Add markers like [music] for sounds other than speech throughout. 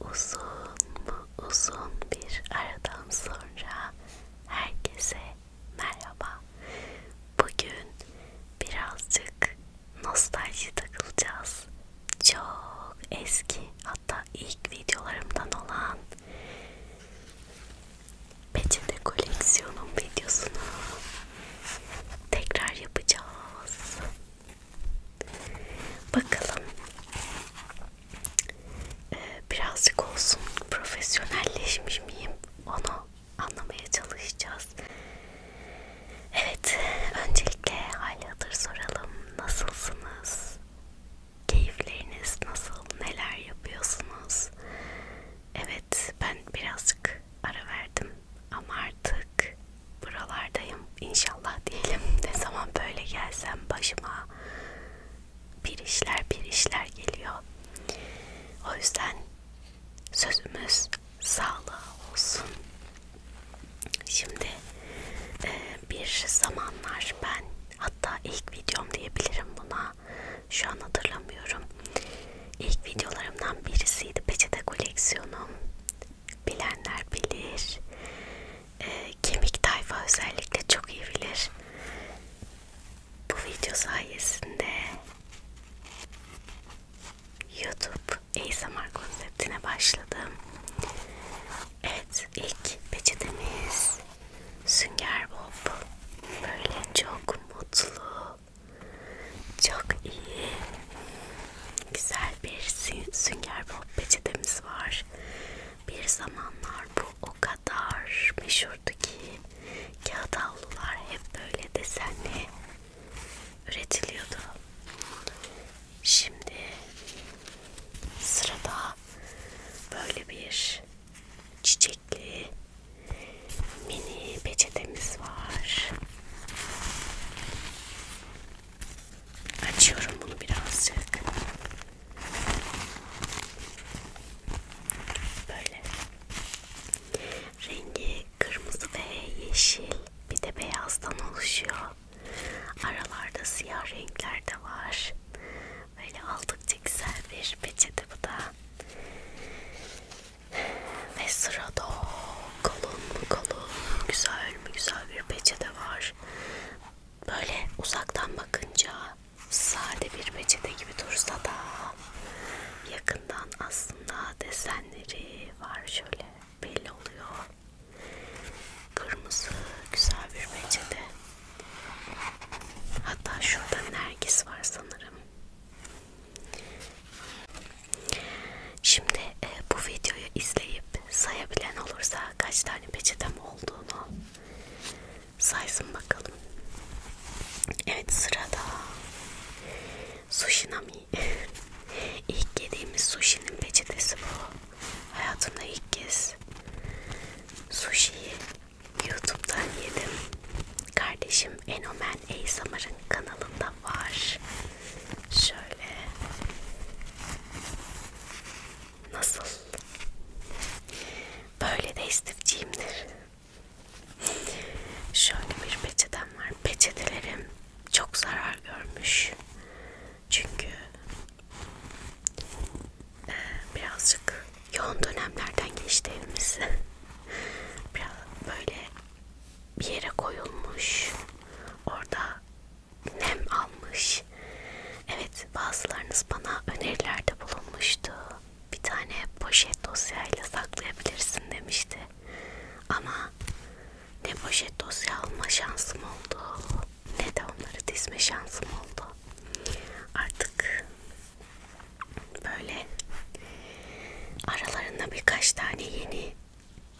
Uzun mu uzun bir aradan sonra herkese merhaba. Bugün birazcık nostalji takılacağız. Çok eski hatta ilk videolarımdan olan peçete koleksiyonum videosunu tekrar yapacağız. Bakalım. Ee, birazcık olsun profesyonelleşmiş miyim? Onu anlamaya çalışacağız. Evet, öncelikle hali hatır soralım. Nasılsınız? Keyifleriniz nasıl? Neler yapıyorsunuz? Evet, ben birazcık ara verdim ama artık buralardayım inşallah diyelim [laughs] ne zaman böyle gelsem başıma bir işler bir işler geliyor o yüzden sözümüz sağlığa olsun şimdi e, bir zamanlar ben hatta ilk videom diyebilirim buna şu an hatırlamıyorum ilk videolarımdan birisiydi peçete koleksiyonum bilenler bilir. E, kemik tayfa özellikle çok iyi bilir. Bu video sayesinde YouTube ASMR konseptine başladım. Evet ilk peçetemiz Sünger Bob. Böyle çok mutlu, çok iyi Güzel bir sünger bob peçetemiz var. Bir zamanlar bu o kadar meşhurdu ki kağıt havlular hep böyle desenli üretiliyordu. Şimdi sırada böyle bir çiçekli mini peçetemiz var. Açıyorum bunu birazcık. Böyle. Rengi kırmızı ve yeşil. Bir de beyazdan oluşuyor. Aralarda siyah renkler de var. Böyle aldıkça güzel bir peçete bu da. Ve sırada o kalın mı kalın, güzel mi güzel bir peçete var. Böyle uzaktan bakınca sade bir peçete gibi dursa da yakından aslında desenleri var şöyle belli oluyor. Kırmızı güzel bir peçete. Hatta şurada nergis var sanırım. Şimdi e, bu videoyu izleyip sayabilen olursa kaç tane peçetem olduğunu saysın bakalım. Evet sırada Sushinami. [laughs] ilk yediğimiz sushi'nin peçetesi bu. Hayatımda ilk kez sushi'yi YouTube'dan yedim. Kardeşim Enomen Eysamar'ın kanalında var. Şöyle nasıl? Böyle de istifçiyimdir. Şöyle bir peçetem var. Peçetelerim çok zarar görmüş. Çünkü e, birazcık yoğun dönemlerden geçti evimiz. [laughs] Biraz böyle bir yere koyulmuş. Orada nem almış. Evet bazılarınız bana önerilerde bulunmuştu. Bir tane poşet dosyayla saklayabilirsin demişti. Ama ne poşet dosya alma şansım oldu ne de onları dizme şansım oldu. Artık böyle aralarında birkaç tane yeni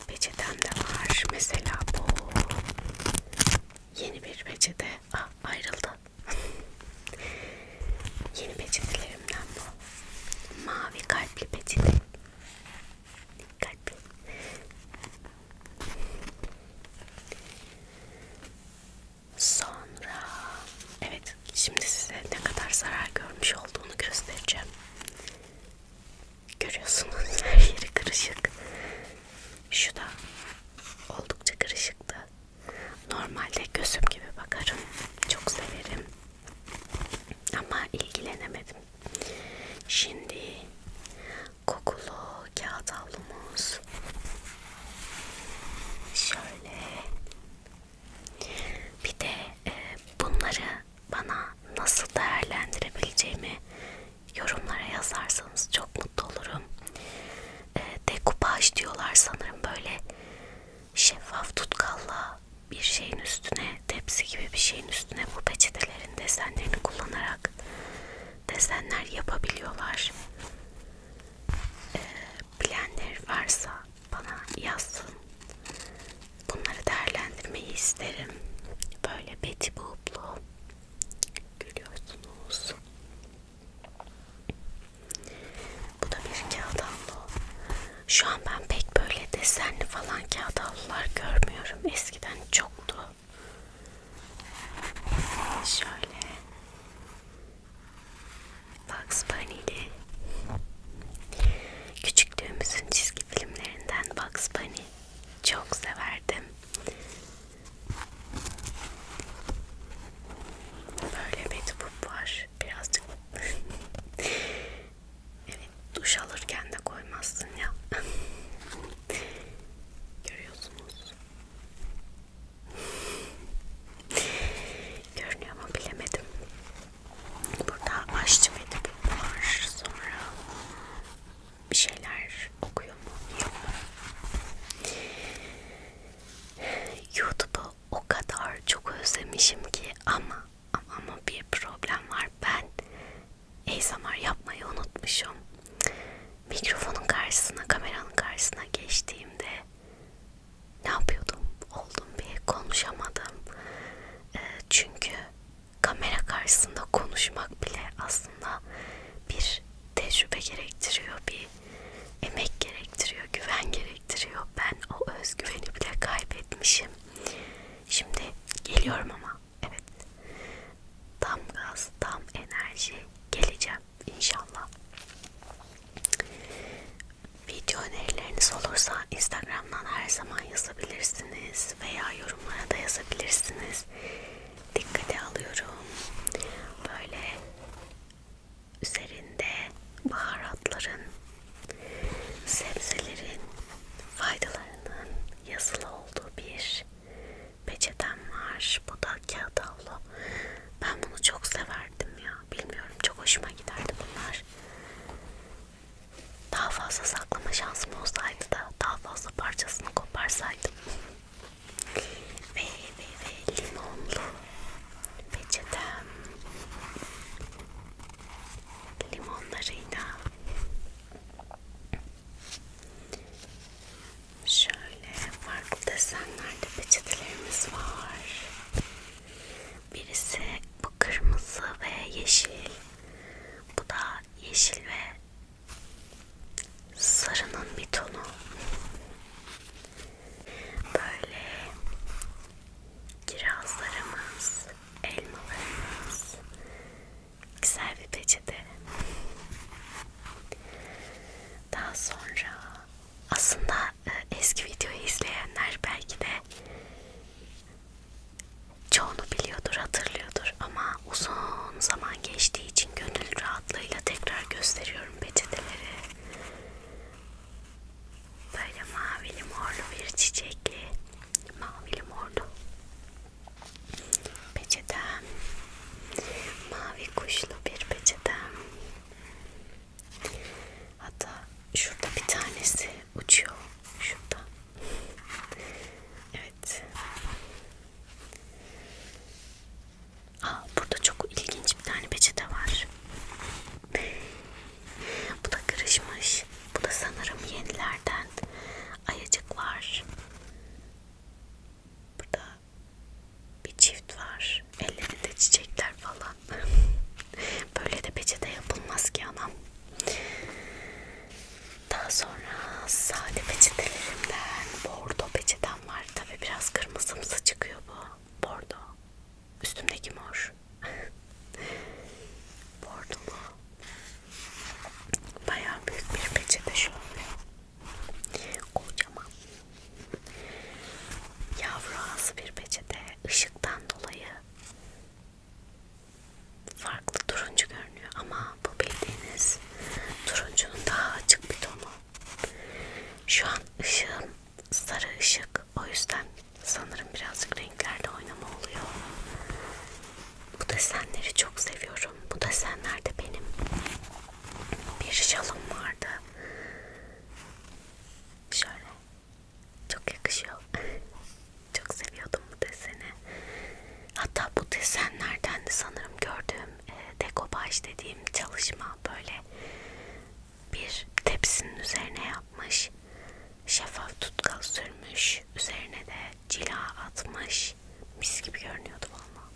Peçetem de var. Mesela bu yeni bir peçete. Ah ayrıldı. [laughs] yeni peçetelerimden bu. Mavi kalpli peçete. Kalpli. Sonra evet şimdi size ne kadar zarar görmüş olduğunu göstereceğim. Görüyorsunuz her yeri kırışık. Şu da oldukça kırışıktı. Normalde gözüm gibi bakarım. Çok severim. Ama ilgilenemedim. Şimdi kokulu kağıt havlumuz. Şöyle. Bir de e, bunları bana nasıl değerlendirebileceğimi yorumlara yazarsanız çok mutlu olurum. E, ee, dekupaj diyorlar sanırım böyle şeffaf tutkalla bir şeyin üstüne tepsi gibi bir şeyin üstüne bu peçetelerin desenlerini kullanarak desenler yapabiliyorlar. E, bilenler varsa bana yazsın. Bunları değerlendirmeyi isterim. Böyle Betty Boop'lu Görüyorsunuz. Bu da bir kağıt havlu. Şu an ben pek böyle desenli falan kağıt havlular görmüyorum. Eskiden çoktu. Şöyle. Bugs Bunny'li. Küçüklüğümüzün çizgi filmlerinden Bugs Bunny. Çok severdim. Böyle mektup var. Birazcık [laughs] evet, duş alırken de koymazsın ya. [laughs] Görüyorsunuz. Görünüyor mu bilemedim. Burada aşçı mektubu var. Sonra bir şeyler okuyor mu, yok mu? YouTube'u o kadar çok özlemişim ki ama ama, ama bir problem var. Ben ASMR yapmayı unutmuşum. Mikrofonun karşısına, kameranın karşısına geçtiğimde ne yapıyordum? Oldum bir konuşamadım. Ee, çünkü kamera karşısında konuşmak bile aslında bir tecrübe gerektiriyor, bir emek gerektiriyor, güven gerektiriyor. Ben o özgüveni bile kaybetmişim. Şimdi geliyorum ama evet. Tam gaz, tam enerji geleceğim inşallah. Video önerileriniz olursa Instagram'dan her zaman yazabilirsiniz veya yorumlara da yazabilirsiniz dikkate alıyorum. Böyle üzerinde baharatların, sebzelerin faydalarının yazılı olduğu bir peçetem var. Bu da kağıt havlu. Ben bunu çok severdim ya. Bilmiyorum çok hoşuma giderdi bunlar. Daha fazla saklama şansım olsaydı da daha fazla parçasını koparsaydım ve, ve, ve limonlu peçetem limonlarıyla şöyle farklı desenlerde peçetelerimiz var birisi bu kırmızı ve yeşil bu da yeşil ve sarının bir tonu böyle kirazlarımız, elmalarımız güzel bir peçete daha sonra aslında e, eski videoyu izleyenler belki de çoğunu biliyordur hatırlıyordur ama uzun zaman geçtiği için gönül rahatlığıyla tekrar gösteriyorum peçeteleri. Böyle mavili morlu bir çiçekli, mavili morlu peçetem, mavi kuşlu bir peçetem. Hatta şurada bir tanesi uçuyor, şurada. Evet Evet. Aa, burada çok ilginç bir tane peçete var. bu da kırışmış. Bu da sanırım yenilerden. Ayacık var. Burada bir çift var. Ellerinde çiçekler falan. [laughs] Böyle de peçete yapılmaz ki anam. Daha sonra sade peçetelerimden bordo peçetem var. Tabi biraz kırmızımsı çıkıyor bu bordo. Üstümdeki mor. [laughs] Bordolu. Bayağı büyük bir peçete şöyle. Kocaman. Yavru ağzı bir peçete. Işıktan dolayı farklı turuncu görünüyor ama bu bildiğiniz turuncunun daha açık bir tonu. Şu an ışığım sarı ışık o yüzden sanırım birazcık renklerde oynama oluyor. Bu desenleri çok seviyorum. Bu desenler de benim bir şalım vardı. Şöyle çok yakışıyor. [laughs] Çok seviyordum bu deseni. Hatta bu desenlerden de sanırım gördüğüm e, dekopaj dediğim çalışma böyle bir tepsinin üzerine yapmış. Şeffaf tutkal sürmüş. Üzerine de cila atmış. Mis gibi görünüyordu valla.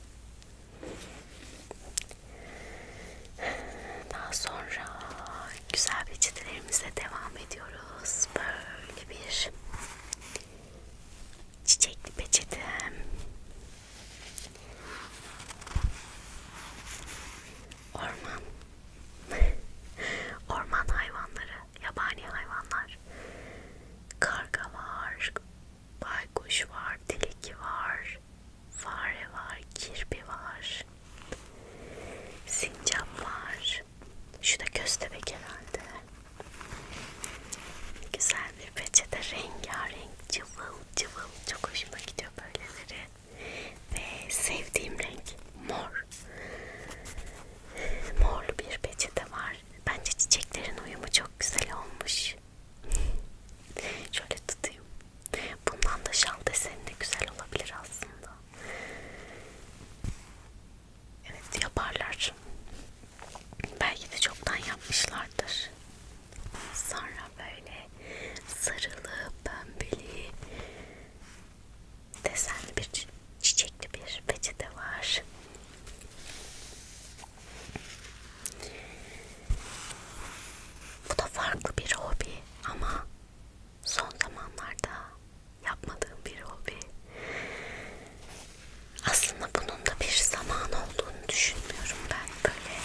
Daha sonra güzel peçetelerimize devam ediyoruz. Böyle bir çiçekli peçetem. Orman. [laughs] Orman hayvanları, yabani hayvanlar. Karga var, baykuş var, tilki var, fare var, kirpi var. Sincap var. Şu da köstebek herhalde. Güzel bir peçete rengarenk cıvıl cıvıl çok hoşuma gidiyor böyleleri ve sevdiğim renk mor morlu bir peçete var bence çiçeklerin uyumu çok güzel olmuş şöyle tutayım bundan da şal deseni de güzel olabilir aslında evet yaparlar Belki de çoktan yapmışlardır. Sonra böyle sarılı, pembeli desenli bir çiçekli bir peçete var. Bu da farklı bir hobi ama son zamanlarda yapmadığım bir hobi. Aslında bunun da bir zaman olduğunu düşünmüyorum ben böyle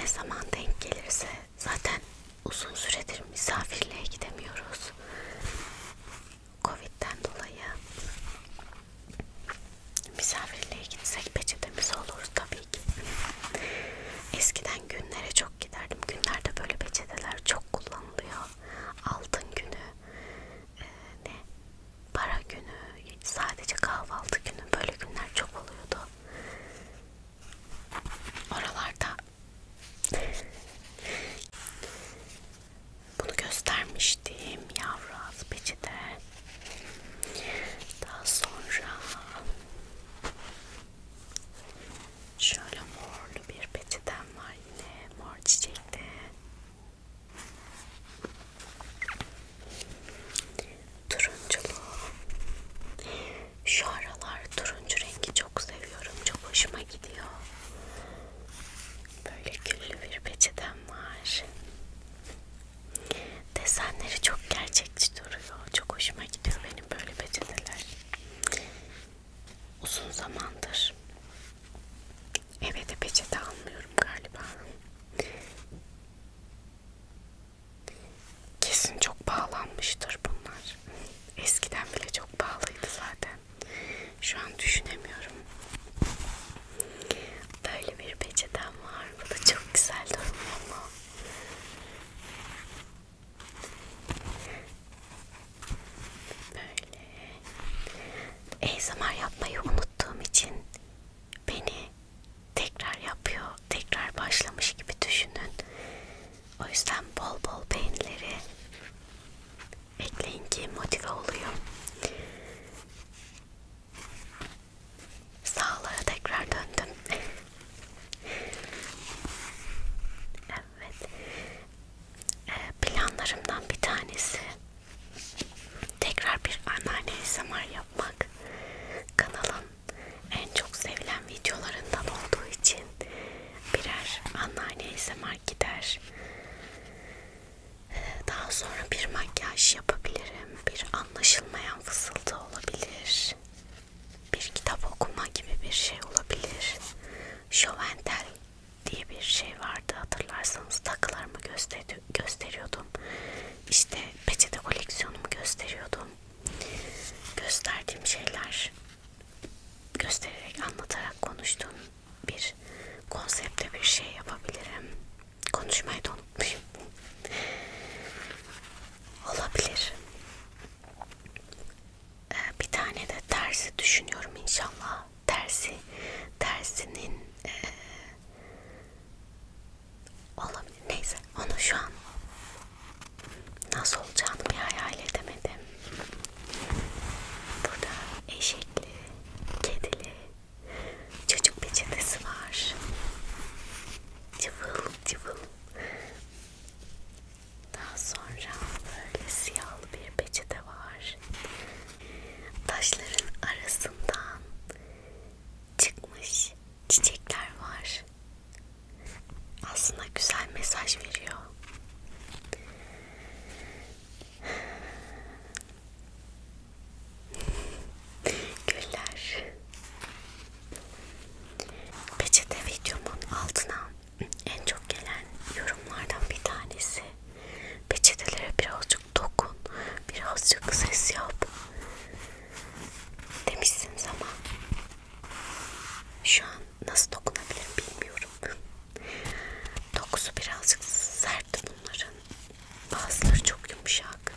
ne zaman denk gelirse zaten uzun süredir misafirliğe gidemiyoruz Covid'den dolayı misafirliğe gitsek peçetemiz olur tabii ki eskiden günlere çok giderdim günlerde böyle peçeteler çok kullanılıyor altın günü ee, ne para günü, sadece kahvaltı günü böyle günler çok oluyordu. Oralarda bunu göstermiştim yavru az peçete. Daha sonra şöyle morlu bir peçetem var yine mor çiçekli. Turunculu. Şu aralar turuncu rengi çok seviyorum. Çok hoşuma gidiyor. Böyle küllü bir peçeten var. Desenleri çok gerçekçi duruyor. Çok hoşuma gidiyor benim böyle peçeteler. Uzun zamandır Eve de peçete almıyorum galiba. Kesin çok pahalanmıştır bunlar. Eskiden bile çok pahalıydı zaten. Şu an düşünemiyorum. Böyle bir peçetem var. Bu da çok güzel durmuyor mu? Böyle. ASMR yapmayı unuttuğum için beni tekrar yapıyor, tekrar başlamış gibi düşünün. O yüzden bol bol beğenileri ekleyin ki motive olayım. Sağlığa tekrar döndüm. evet. Ee, planlarımdan bir tanesi Tekrar bir anneanne ASMR yapmak kanalın en çok sevilen videolarından olduğu için birer anneanne ASMR gider. Daha sonra bir makyaj yapabilirim. Bir anlaşılmayan fısıltı olabilir. Bir kitap okuma gibi bir şey olabilir. Şöventel diye bir şey vardı hatırlarsanız takılarımı göster gösteriyordum işte peçete koleksiyonumu gösteriyordum gösterdiğim şeyler göstererek anlatarak konuştuğum bir konsepte bir şey yapabilirim konuşmayı da unutmuşum olabilir ee, bir tane de tersi düşünüyorum inşallah tersi tersinin e, olabilir. Neyse onu şu an nasıl olacağını bir hayal edemedim. Burada eşekli, kedili, çocuk peçetesi var. Cıvıl cıvıl. Daha sonra böyle siyahlı bir peçete var. Taşların arasından çıkmış çiçekler var. Aslında güzel mesaj veriyor. Güller. Peçete videomun altına en çok gelen yorumlardan bir tanesi peçetelere biraz birazcık dokun, birazcık ses yap demişsiniz ama şu an nasıl dokunabilirim bilmiyorum. Dokusu birazcık sert bunların. Bazıları çok yumuşak.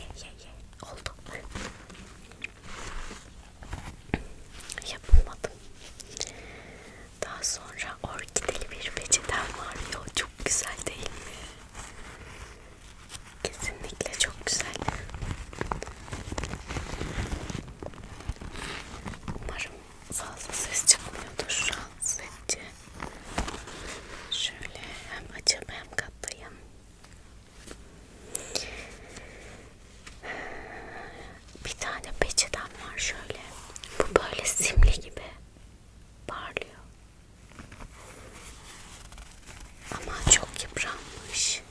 Ye ye ye. Oldu. Yapamadım. Daha sonra orkideli bir peçeten var ya çok güzel değil mi? Kesinlikle çok güzel. Umarım fazla ses çıkmıyordur rahatsız edici. Şöyle hem açıp hem katlayayım bir tane peçeten var şöyle. Bu böyle simli gibi parlıyor. Ama çok yıpranmış.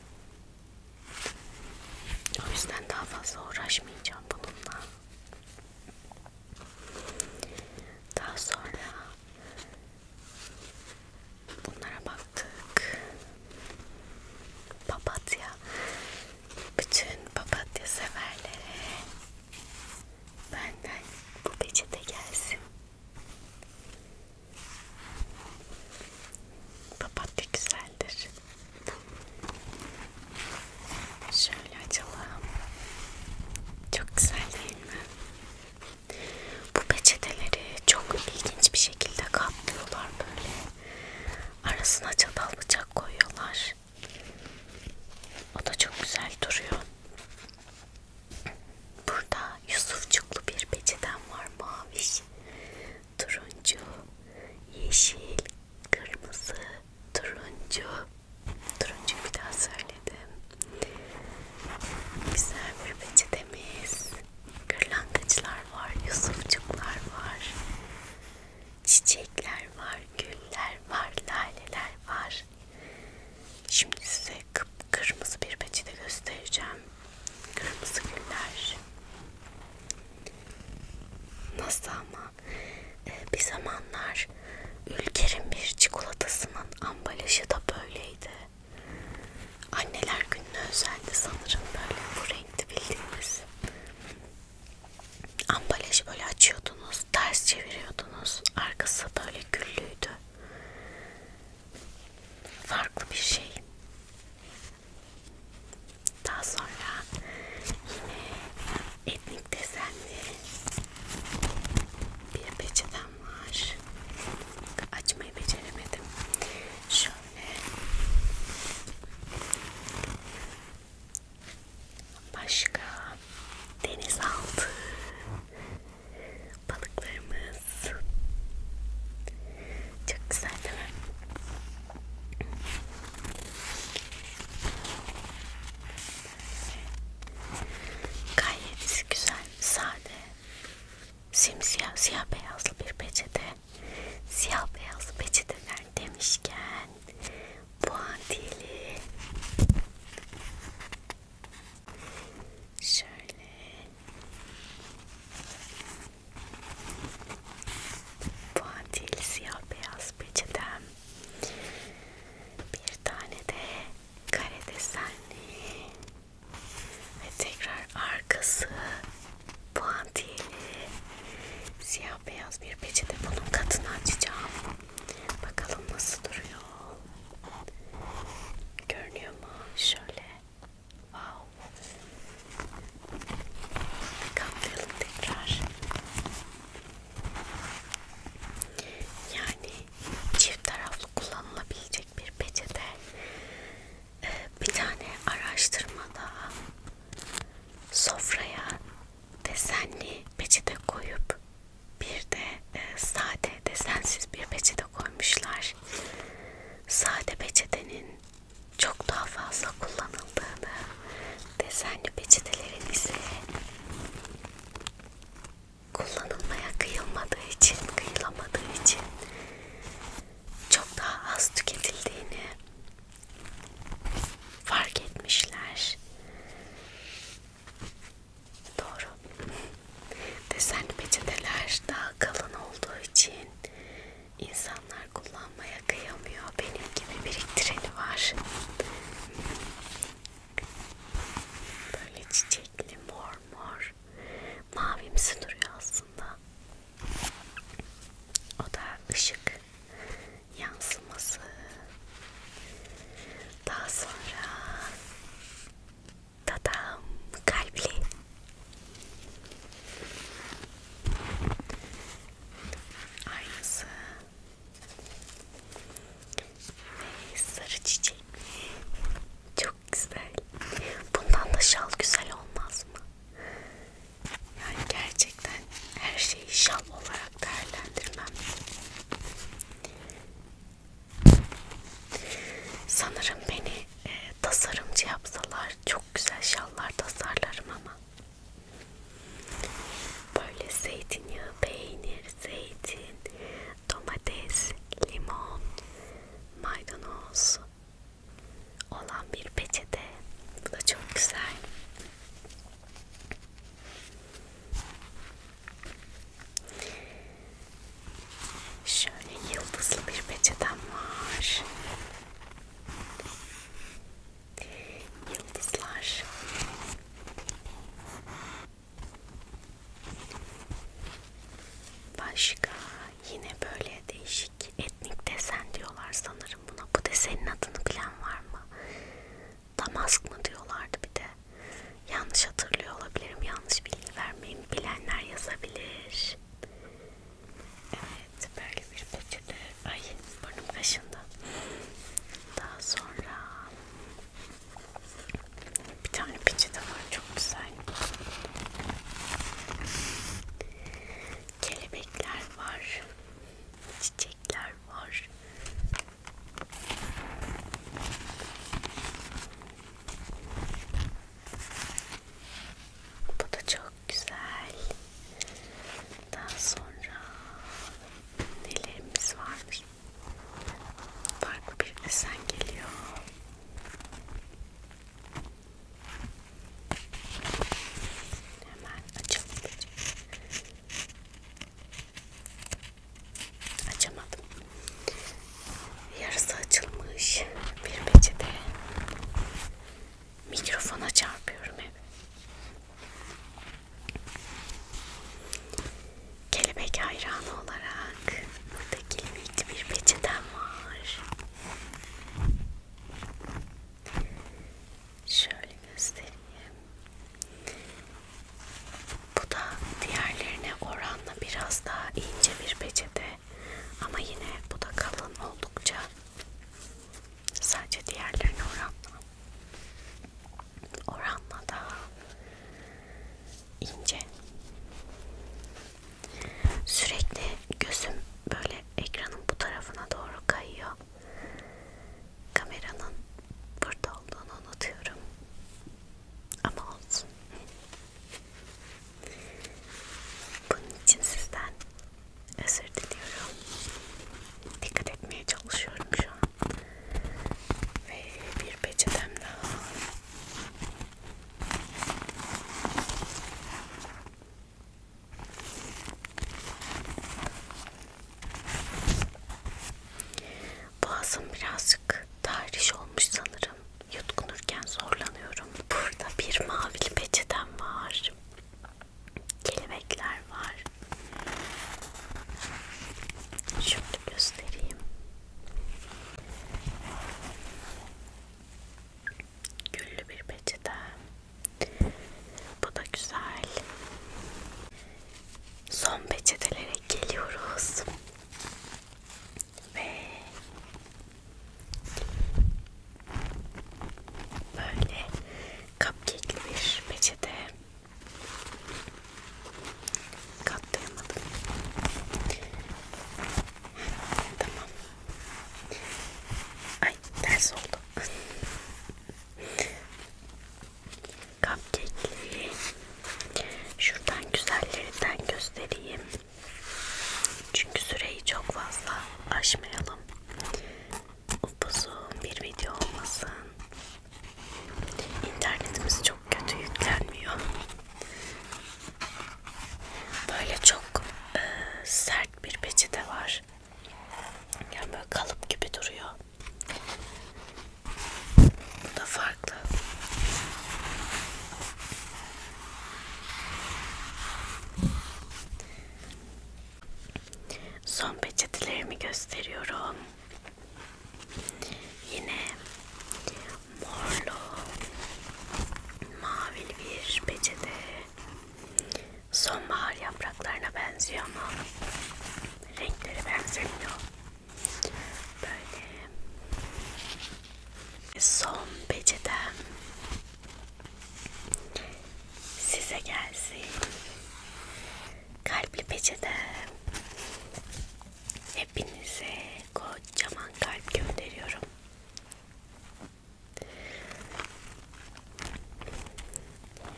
O yüzden daha fazla uğraşmayacağım bununla. Daha sonra bunlara baktık. Papatya bütün papatya severlere benden bu peçete gelsin. Papatya güzeldir. Şöyle açalım. Çok güzel değil mi? Bu peçeteleri çok ilginç bir şekilde katlıyorlar böyle. Arasına çatal bıçak koyuyorlar var. O da çok güzel duruyor. Burada Yusufçuklu bir peçeten var. Maviş, turuncu, yeşil, kırmızı, turuncu. Turuncu bir daha söyledim. Güzel bir peçetemiz. Kırlangıçlar var, Yusufçuklar var. Çiçekler var, güller var, laleler var. Şimdi size kıpkırmızı bir peçete göstereceğim. Kırmızı güller. Nasıl ama ee, bir zamanlar ülkenin bir çikolatasının ambalajı da böyleydi. Anneler gününe özeldi sanırım böyle bu renkte bildiğimiz ambalajı böyle açıyordunuz, ters çeviriyordunuz. Arkası böyle güllüydü. Farklı bir şey. Daha sonra yine etnik desenli bir peçeten var. Açmayı beceremedim. Şöyle Başka denizaltı balıklarımız çok güzel değil mi? Gayet güzel, sade, simsiyah, siyah beyazlı bir peçete. Siyah beyazlı peçeteler demişken puantiyeli şöyle puantiyeli siyah beyaz peçetem bir tane de kare desenli ve tekrar arkası puantiyeli Siyah beyaz bir peçete bunun katını açacağım. Bakalım nasıl duruyor. Görünüyor mu? Şöyle. Wow. Katlayalım tekrar. Yani çift taraflı kullanılabilecek bir peçete. Ee, bir tane araştırmada sofraya desenli peçete koyup bir de e, sade desensiz bir peçete koymuşlar. Sade peçetenin çok daha fazla kullanıldığını, desenli peçetelerin ise kullanılmaya kıyılmadığı için, kıyılamadığı için çok daha az tüketildiğini fark etmişler. Doğru. Desen peçeteler daha kalın olduğu için insanlar kullanmaya kıyamıyor. Benim gibi biriktireni var. Böyle çiçekli mor mor mavimsi duruyor aslında. O da ışık yansıması. Daha sonra tadam kalpli. Aynısı. Ve sarı çiçek. Çok güzel. Bundan da şal güzel olmaz mı? Yani gerçekten her şeyi şam olarak değerlendirmem. Sanırım beni e, tasarımcı yapsalar çok güzel şallar tasarlarım ama. Böyle zeytinyağı, peynir, zeytin, domates, limon, maydanoz olan bir peçete. Bu da çok güzel. Şöyle yıldızlı bir peçetem var. Yıldızlar. Başka yine böyle değişik etnik desen diyorlar sanırım buna. Bu desenin adını bilen var mı? Damask mı diyorlardı bir de. Yanlış hatırlıyor olabilirim. Yanlış bilgi vermeyeyim. Bilenler yazabilir. Evet böyle bir peçete. Ay burnum kaşındı. Daha sonra bir tane peçete var. Çok güzel. Kelebekler var. Çiçekler var. Bu da çok güzel. Daha sonra nelerimiz varmış? Farklı bir desen geliyor. Hemen açalım. Açamadım. Yarısı açılmış. Bir peçete mikrofona çarpıyorum hep. Kelebek hayranı olarak burada kelebekli bir peçetem var. Şöyle göstereyim. Bu da diğerlerine oranla biraz daha ince bir peçete ama yine bu da kalın oldukça sadece diğerlerine oranla oranla daha ince. Sürekli gözüm böyle ekranın bu tarafına doğru kayıyor. Kameranın burada olduğunu unutuyorum. Ama olsun. Bunun için sizden özür diliyorum. Dikkat etmeye çalışıyorum şu an. Ve bir peçetem daha. Boğazım birazcık tahriş olmuş sanırım. Yutkunurken zorlanıyorum. Burada bir mavili peçeten var. Kelebekler var. Şöyle göstereyim. Güllü bir peçete. Bu da güzel son peçetelere geliyoruz ve böyle cupcake'li bir peçete katlayamadım tamam ay ders oldu cupcake'leri şuradan güzellerinden göstereyim. Çünkü süreyi çok fazla aşmayalım. Upuzun bir video olmasın. İnternetimiz çok kötü yüklenmiyor. Böyle çok e, sert bir peçete var. Yani böyle kalıp gibi duruyor. Bu da farklı. Son peçetelerimi gösteriyorum. Yine morlu, mavili bir peçete. Sonbahar yapraklarına benziyor ama renkleri benzemiyor. Böyle son peçetem size gelsin. Kalpli peçete. Hepinize kocaman kalp gönderiyorum. Böyle.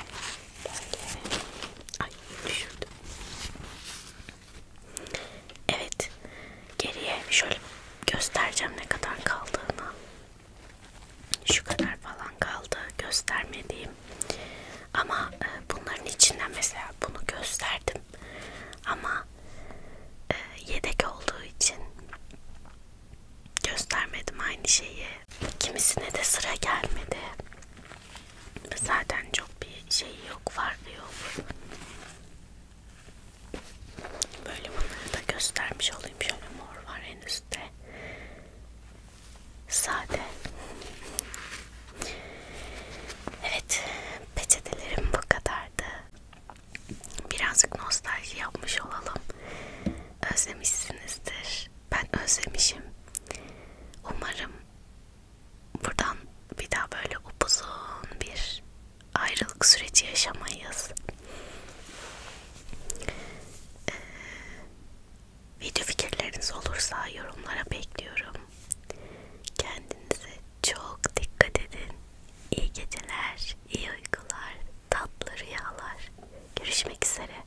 Ay düşürdüm. Evet. Geriye şöyle göstereceğim ne kadar kaldığını. Şu kadar falan kaldı göstermediğim. Ama e, bunların içinden mesela bunu gösterdim. Ama e, yedek olduğu için göstermedim aynı şeyi. Kimisine de sıra gelmedi. Zaten çok bir şey yok, farkı yok. Böyle bunları da göstermiş olayım. Şöyle mor var en üstte. Sade. Evet, peçetelerim bu kadardı. Birazcık nostalji yapmış olalım. Özlemişsinizdir. Ben özlemişim. Umarım buradan bir daha böyle upuzun bir ayrılık süreci yaşamayız. Ee, video fikirleriniz olursa yorumlara bekliyorum. Kendinize çok dikkat edin. İyi geceler, iyi uykular, tatlı rüyalar. Görüşmek üzere.